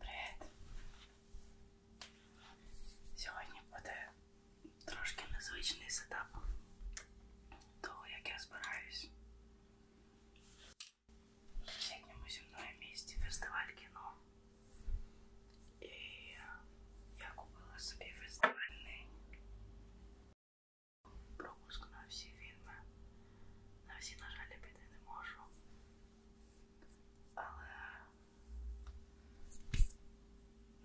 Привіт! Сьогодні буде трошки незвичний сетап того, як я збираюсь в сусідньому зі мною місті фестиваль кіно. І я купила собі фестивальний пропуск на всі фільми. На всі, на жаль, піти не можу але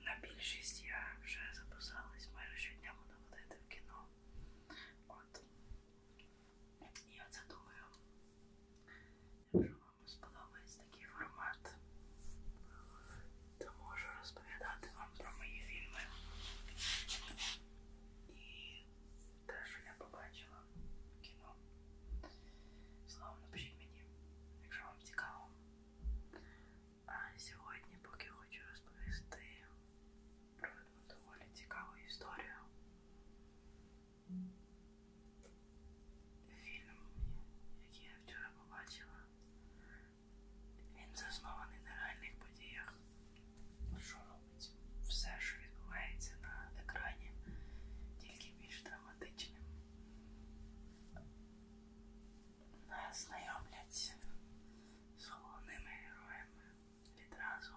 на більшість я вже записалась майже щодня буду ходити в кіно. От. І оце думаю, якщо вам сподобається такий формат, то можу розповідати вам про мої фільми і те, що я побачила кіно. Словом, напишіть мені, якщо вам цікаво. А сьогодні, поки хочу розповісти про одну доволі цікаву історію. Фільм, який я вчора побачила, він заснований на реальних подіях. Шоу робить все, що відбувається на екрані, тільки більш драматичним. Нас знайомлять з головними героями відразу.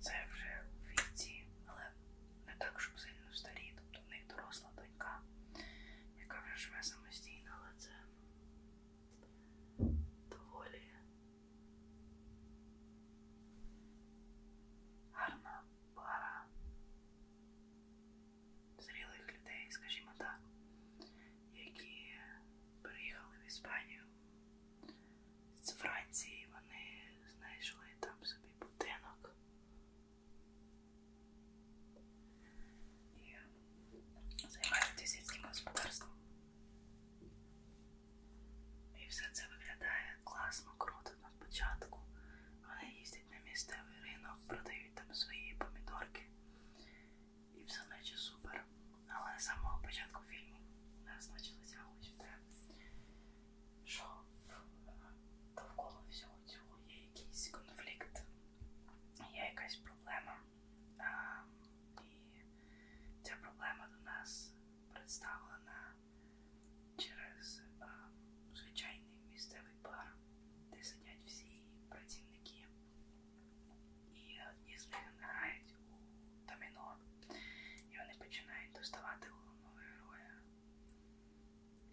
Це вже у віці, але не так, щоб сильно старі, тобто в них доросла донька, яка вже живе самостійно, але це доволі гарна пара зрілих людей, скажімо так, які переїхали в Іспанію з Франції, вони знайшли там собі будинок. І займаються сільським господарством. І все це виглядає класно, круто на початку. Вони їздять на місцевий ринок, продають там свої помідорки. І все наче супер. Але з самого початку фільму нас почали тягнути, що довкола всього цього є якийсь конфлікт, є якась проблема. А, і ця проблема до нас представлена через а, звичайний місцевий бар, де сидять всі працівники, і одні з них грають у доміно, і вони починають доставати головного героя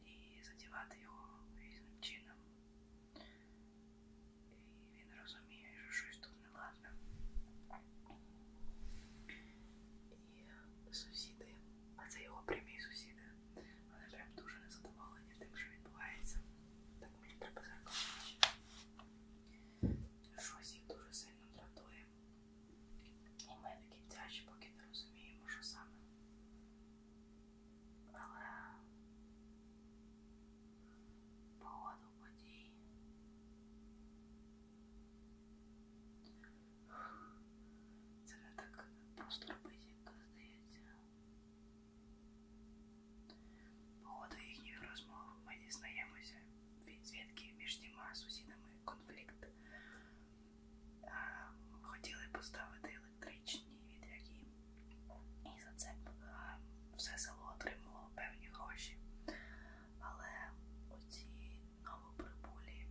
і задівати його різним чином. І він розуміє, що щось тут не ладно. І сусіди, а це його прямі сусіди. Вони прям дуже незадоволені тим, що відбувається. Так мені треба зеркало. Щось їх дуже сильно дратує. І ми такі тяжі, поки не розуміємо, що саме але погоду подій це не так просто робити, як здається. Погоду їхніх розмов ми дізнаємося від звідки між тіма сусідами конфлікт. Хотіли поставити електричні вітряки, і за це е, все село отримувало певні гроші. Але оці новоприбулі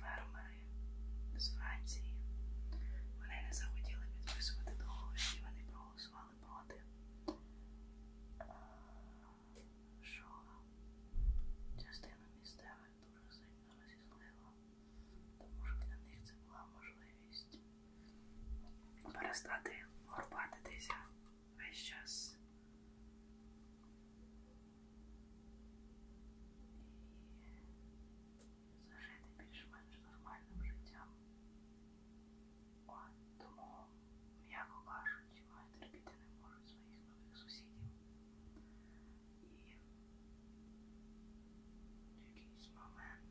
фермери з Франції вони не захотіли підписувати договір і вони проголосували проти. Е, що частину місцевих дуже сильно розізлило, тому що для них це була можливість перестати горбатитися весь час. І зажити більш-менш нормальним життям. От, тому, м'яко кажучи, вони терпіти не можуть своїх нових сусідів. І в якийсь момент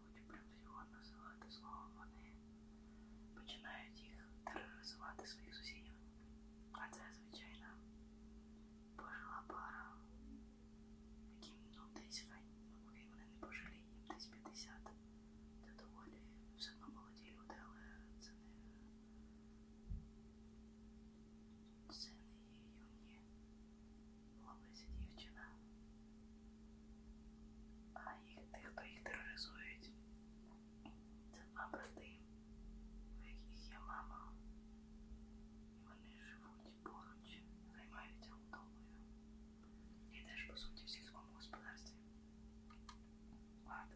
не будуть правдиво називати словом, вони починають їх тероризувати своїх сусідів. А це, звичайно, пожила пара, яким ну, десь хай, ну, вони не пожили, їм десь 50. Це доволі все одно молоді люди, але це не. Це не юні хлопець і дівчина. А їх тих, хто їх тероризують, це два брати, у яких є мама. І вони живуть поруч, займаються вдовою. І теж, по суті, в сільському господарстві. Ладно.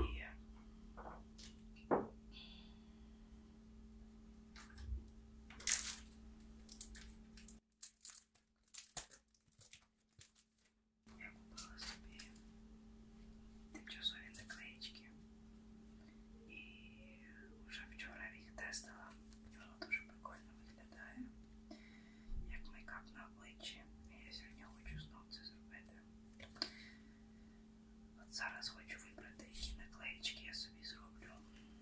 І я купила собі тимчасові наклеїчки і вже вчора їх тестила. Воно дуже прикольно виглядає, як мейкап на обличчі. Я сьогодні хочу знову це зробити. От зараз хочу вибрати, які наклеїчки я собі зроблю.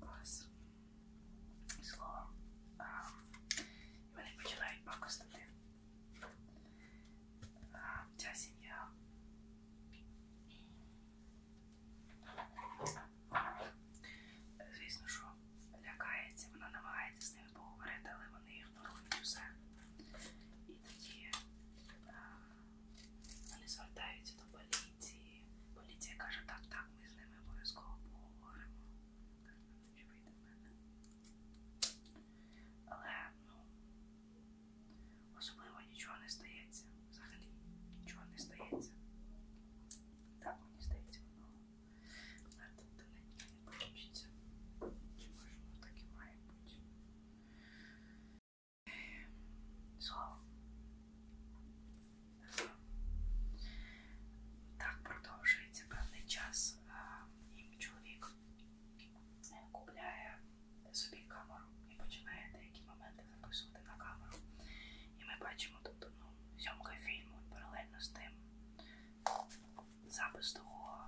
Клас. Словом, вони починають пакостити. Ця сім'я. Звісно, що лякається, вона намагається з ними поговорити, але вони ігнорують усе. І тоді а, вони звертаються до болі поліції. Поліція каже, так, так, ми з ними обов'язково поговоримо. Чи вийде в мене? Але, ну, особливо нічого не стається. Взагалі нічого не стається. Так, мені здається, воно до нічого не получиться. Чи може воно так і має бути? Слово. Так продовжується певний час. І чоловік купляє собі камеру і починає деякі моменти записувати на камеру. І ми бачимо тут ну, зйомка фільму і паралельно з тим запис того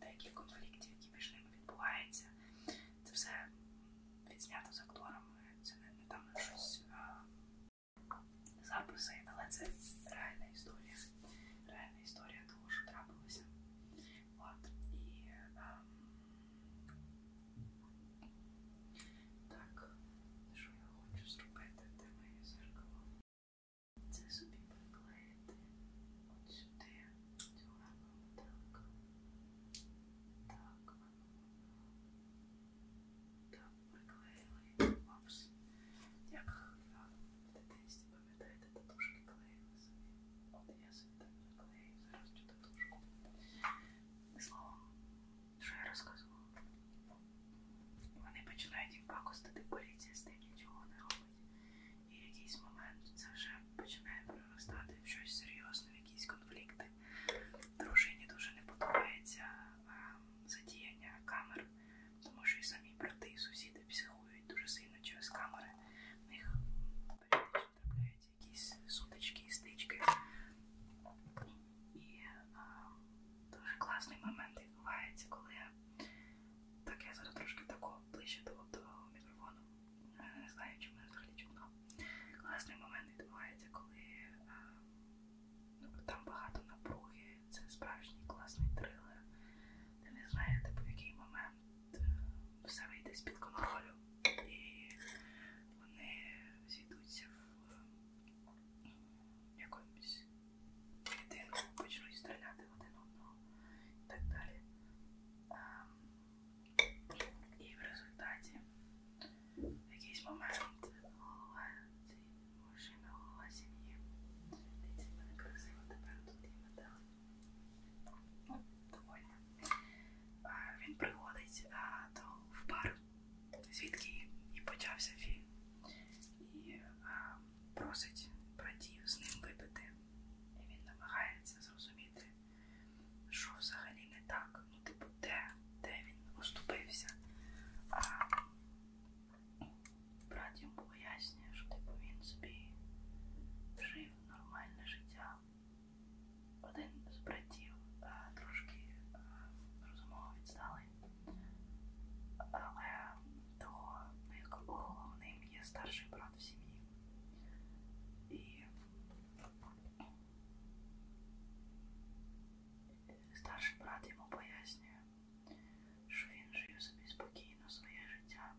деяких конфліктів, які між ними відбуваються. Це все відзнято з акторами. Це не, не там щось а, записи, але це реальна історія. Реальна історія того, що трапилося. От. І а, ем, так, що я хочу зробити, де моє зеркало? Це собі приклеїти от сюди, цю гарну метелика. Так, так. Так, приклеїли. Опс. Як дитинстві, пам'ятаєте, татушки клеїли собі. От я собі так приклею зараз цю татушку. Словом, що я розказувала. Вони починають їм пакостити, поліція з тим нічого не робить. І в якийсь момент це вже починає проростати в щось серйозне, в якісь конфлікти показати. Дружині дуже не подобається задіяння камер, тому що і самі брати, і сусіди психують дуже сильно через камери. В них періодично трапляються якісь сутички і стички. І а, дуже класний момент відбувається, коли так я зараз трошки тако ближче до, до мікрофону. Не знаю, чи мене взагалі чутно. Класний момент відбувається, коли а, Ну, там багато напруги, це справжній класний трилер. Ти не знаєте, типу, по який момент е, все вийде з-під контролю. І вони зійдуться в е, якомусь єдину, почнуть стріляти в один одного і так далі. Ем, і в результаті в якийсь момент голова мужчина, голова сім'ї. Дивіться, мене красиво тепер тут є метал. Ну, довольно. Він приходить а, до, в бар, звідки і почався фільм. І а, просить братів з ним випити. І він намагається зрозуміти, що взагалі не так ну, типу, де, де він оступився. А брат йому пояснює, що типу, він собі жив нормальне життя. Один з братів а, трошки а, розумово відсталий, але того, ну, як головним є старший брат в сім'ї. І Старший брат йому пояснює, що він жив собі спокійно своє життя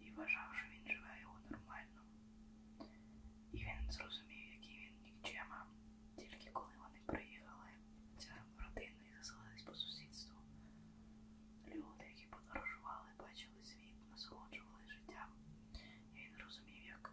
і вважав, що він живе його нормально. І він зрозумів, який він нікчема, тільки коли вони приїхали, ця родина і заселились по сусідству. Люди, які подорожували, бачили світ, насолоджували життям. І він розумів, як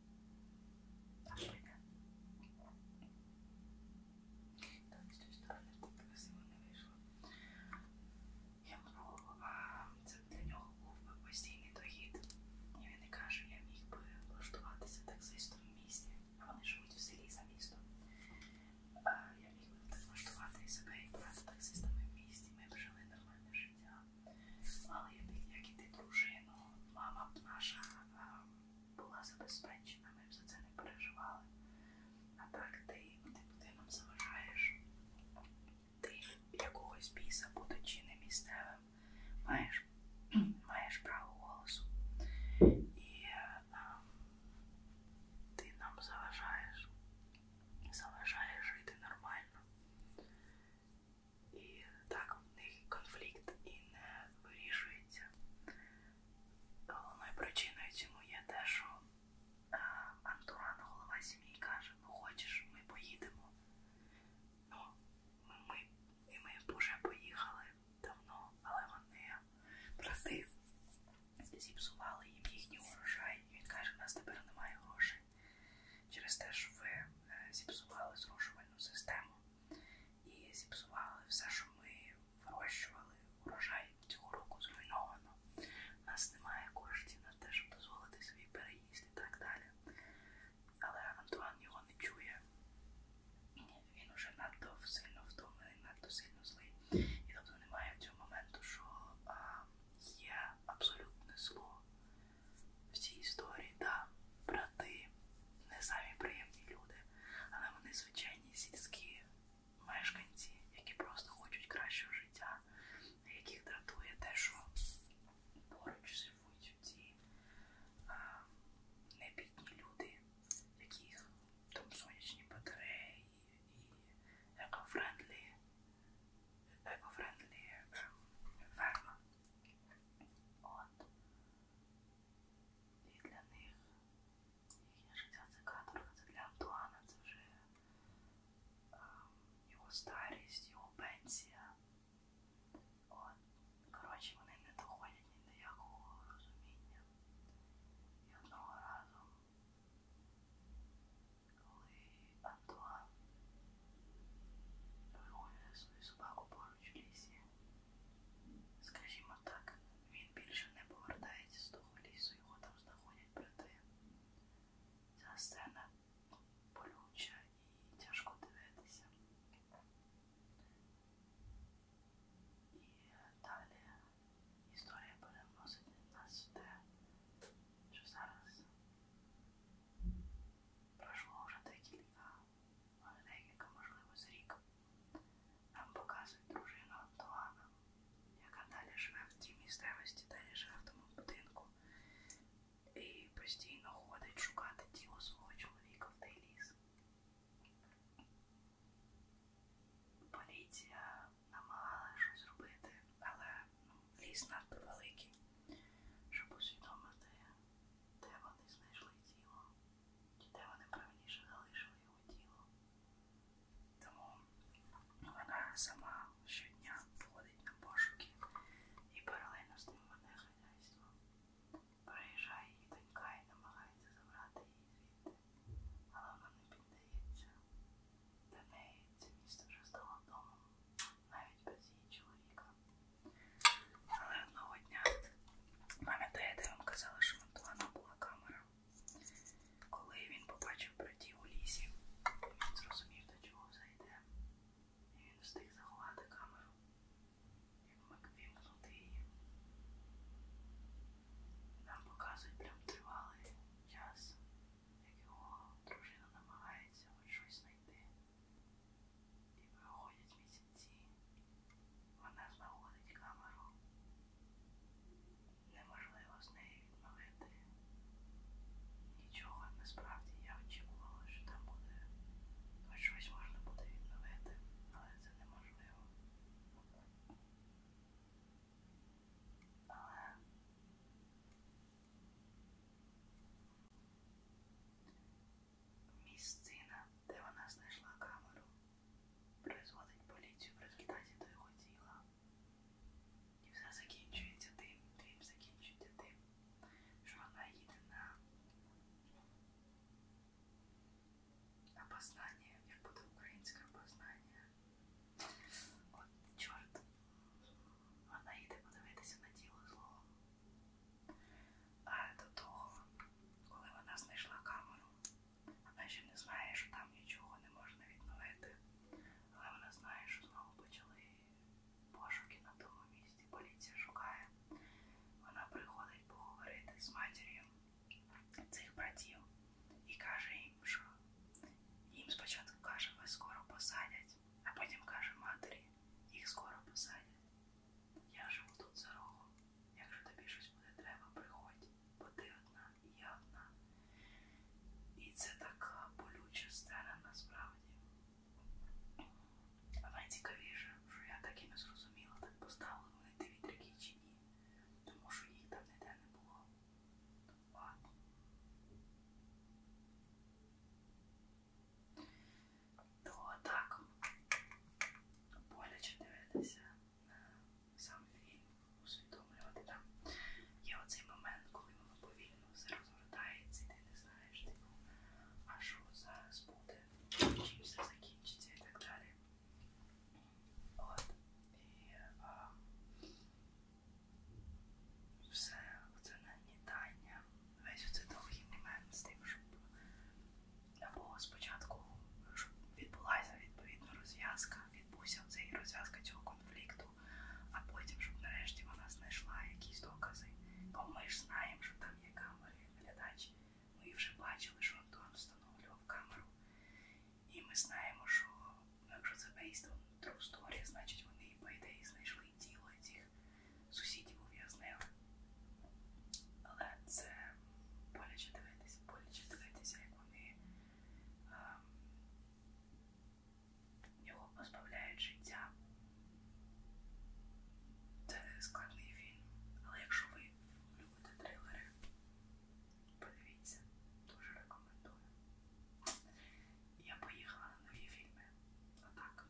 Так, з тої сторони так красиво не вийшло. Я мру, а це для нього був би постійний дохід. І він не каже, я міг би влаштуватися таксистом в місті. А вони живуть в селі за містом. А я міг би так влаштувати і себе і брати таксистами в місті. Ми б жили нормальне життя. Але як і ти дружину, мама б наша була забезпечена, ми б за це не переживали. А так ти тим людинам заважаєш, ти якогось біса, будучи не місцевим, маєш, маєш право голосу. І е, а, ти нам заважаєш, заважаєш жити нормально. І так в них конфлікт і не вирішується. Головною причиною цьому є те, що е, Антуан, голова сім'ї, каже: Ну хочеш, ми поїдемо. Ну, ми, ми, і ми вже поїхали давно, але вони проти зіпсували їм їхній урожай. І він каже, у нас тепер немає грошей через те, що ви е, зіпсували зрошувальну систему і зіпсували все, що ми вирощували. Урожай цього року зруйновано. У нас немає коштів на те, щоб дозволити собі переїзд і так далі. Але Антуан його не чує. Він уже надто сильно втомлений, надто сильно злий. І тобто немає цього моменту, що а, є абсолютне зло в цій історії. Да, брати не самі приємні люди, але вони звичайні сільські мешканці, які просто хочуть кращого життя, яких дратує те, що поруч живуть ці небідні люди, яких там сонячні батареї і екофрендлі, екофрендлі ем, ферма. От. І для них їхнє життя це каторга, це для Антуана, це вже е, його старість, його пенсія. От, коротше, вони не доходять ні до якого розуміння. І одного разу, коли Антуан вигулює свою собаку поруч в лісі, Скажімо так, він більше не повертається з того лісу, його там знаходять брати. Ця сцена болюча і тяжко дивитися. І далі історія переносить нас в те, що зараз пройшло вже декілька декілька, можливо, з рік. Нам показують дружину Антуана, яка далі живе в тій місцевості, далі живе в тому будинку і постійно ходить шукати тіло свого чоловіка в той ліс. Поліція намагалася щось робити, але ну, ліс надто великий, щоб усвідомити, де вони знайшли тіло де вони правильніше залишили його тіло. Тому вона сама щодня походить на пошуки і паралельно з тим веде хазяйство. Приїжджає її донька і намагається забрати її звідти, але вона не піддається. Для неї це місто вже стало домом, навіть без її чоловіка. Але одного дня пам'ятаєте, я вам казала, що монтувана була камера. Коли він побачив братів у лісі, він зрозумів, до чого зайде. І він встиг заховати камеру. Як вимкнути її. Нам показують прям тривалий час, як його дружина намагається хоч щось знайти. І проходять місяці. Вона знаходить камеру. Неможливо з неї відновити. Нічого насправді я очікувала, що там буде. Хоч щось можна буде відновити, але це неможливо. Але Місцина, де вона знайшла камеру, призводить поліцію в результаті до його тіла. І все закінчується тим, фільм закінчується тим, що вона їде на, на познання, як буде українське познання. От чорт, вона їде подивитися на тіло злого. А до того коли вона знайшла камеру, вона ще не знає, що там нічого не можна відновити. Але вона знає, що знову почали пошуки на тому місці. Поліція шукає. Вона приходить поговорити з матір'ю цих братів і каже їм, що їм спочатку каже, ви скоро посадять, а потім каже матері, їх скоро посадять. Я живу тут за рогом. Якщо тобі щось буде треба, приходь, бо ти одна і я одна. І це така болюча стара насправді. А найцікавіше, що я так і не зрозуміла, так поставили вони ті вітряки чи ні, тому що їх там ніде не було. Ладно то ну, так боляче дивитися на сам фільм, усвідомлювати там. Є оцей момент, коли воно повільно все розгортається, і ти не знаєш, типу, а що зараз буде, чим все закінчиться і так далі. От. І а, все це нагнітання весь оцей довгий момент з тим, щоб або спочатку щоб відбулася відповідна розв'язка, відбувся цей розв'язка цього конфлікту, а потім, щоб нарешті вона знайшла якісь докази. Бо ми ж знаємо, що там є камери, глядачі. Ми вже бачили, що Антон встановлював камеру. І ми знаємо, що ну, якщо це based on true story, значить вони по ідеї знайшли тіло цих своїх сусідів ув'язнили. Але це боляче дивитися, боляче дивитися, як вони а, ем, його позбавляють життя. Це складний фільм. Але якщо ви любите трилери, подивіться, дуже рекомендую. Я поїхала на нові фільми. Отак.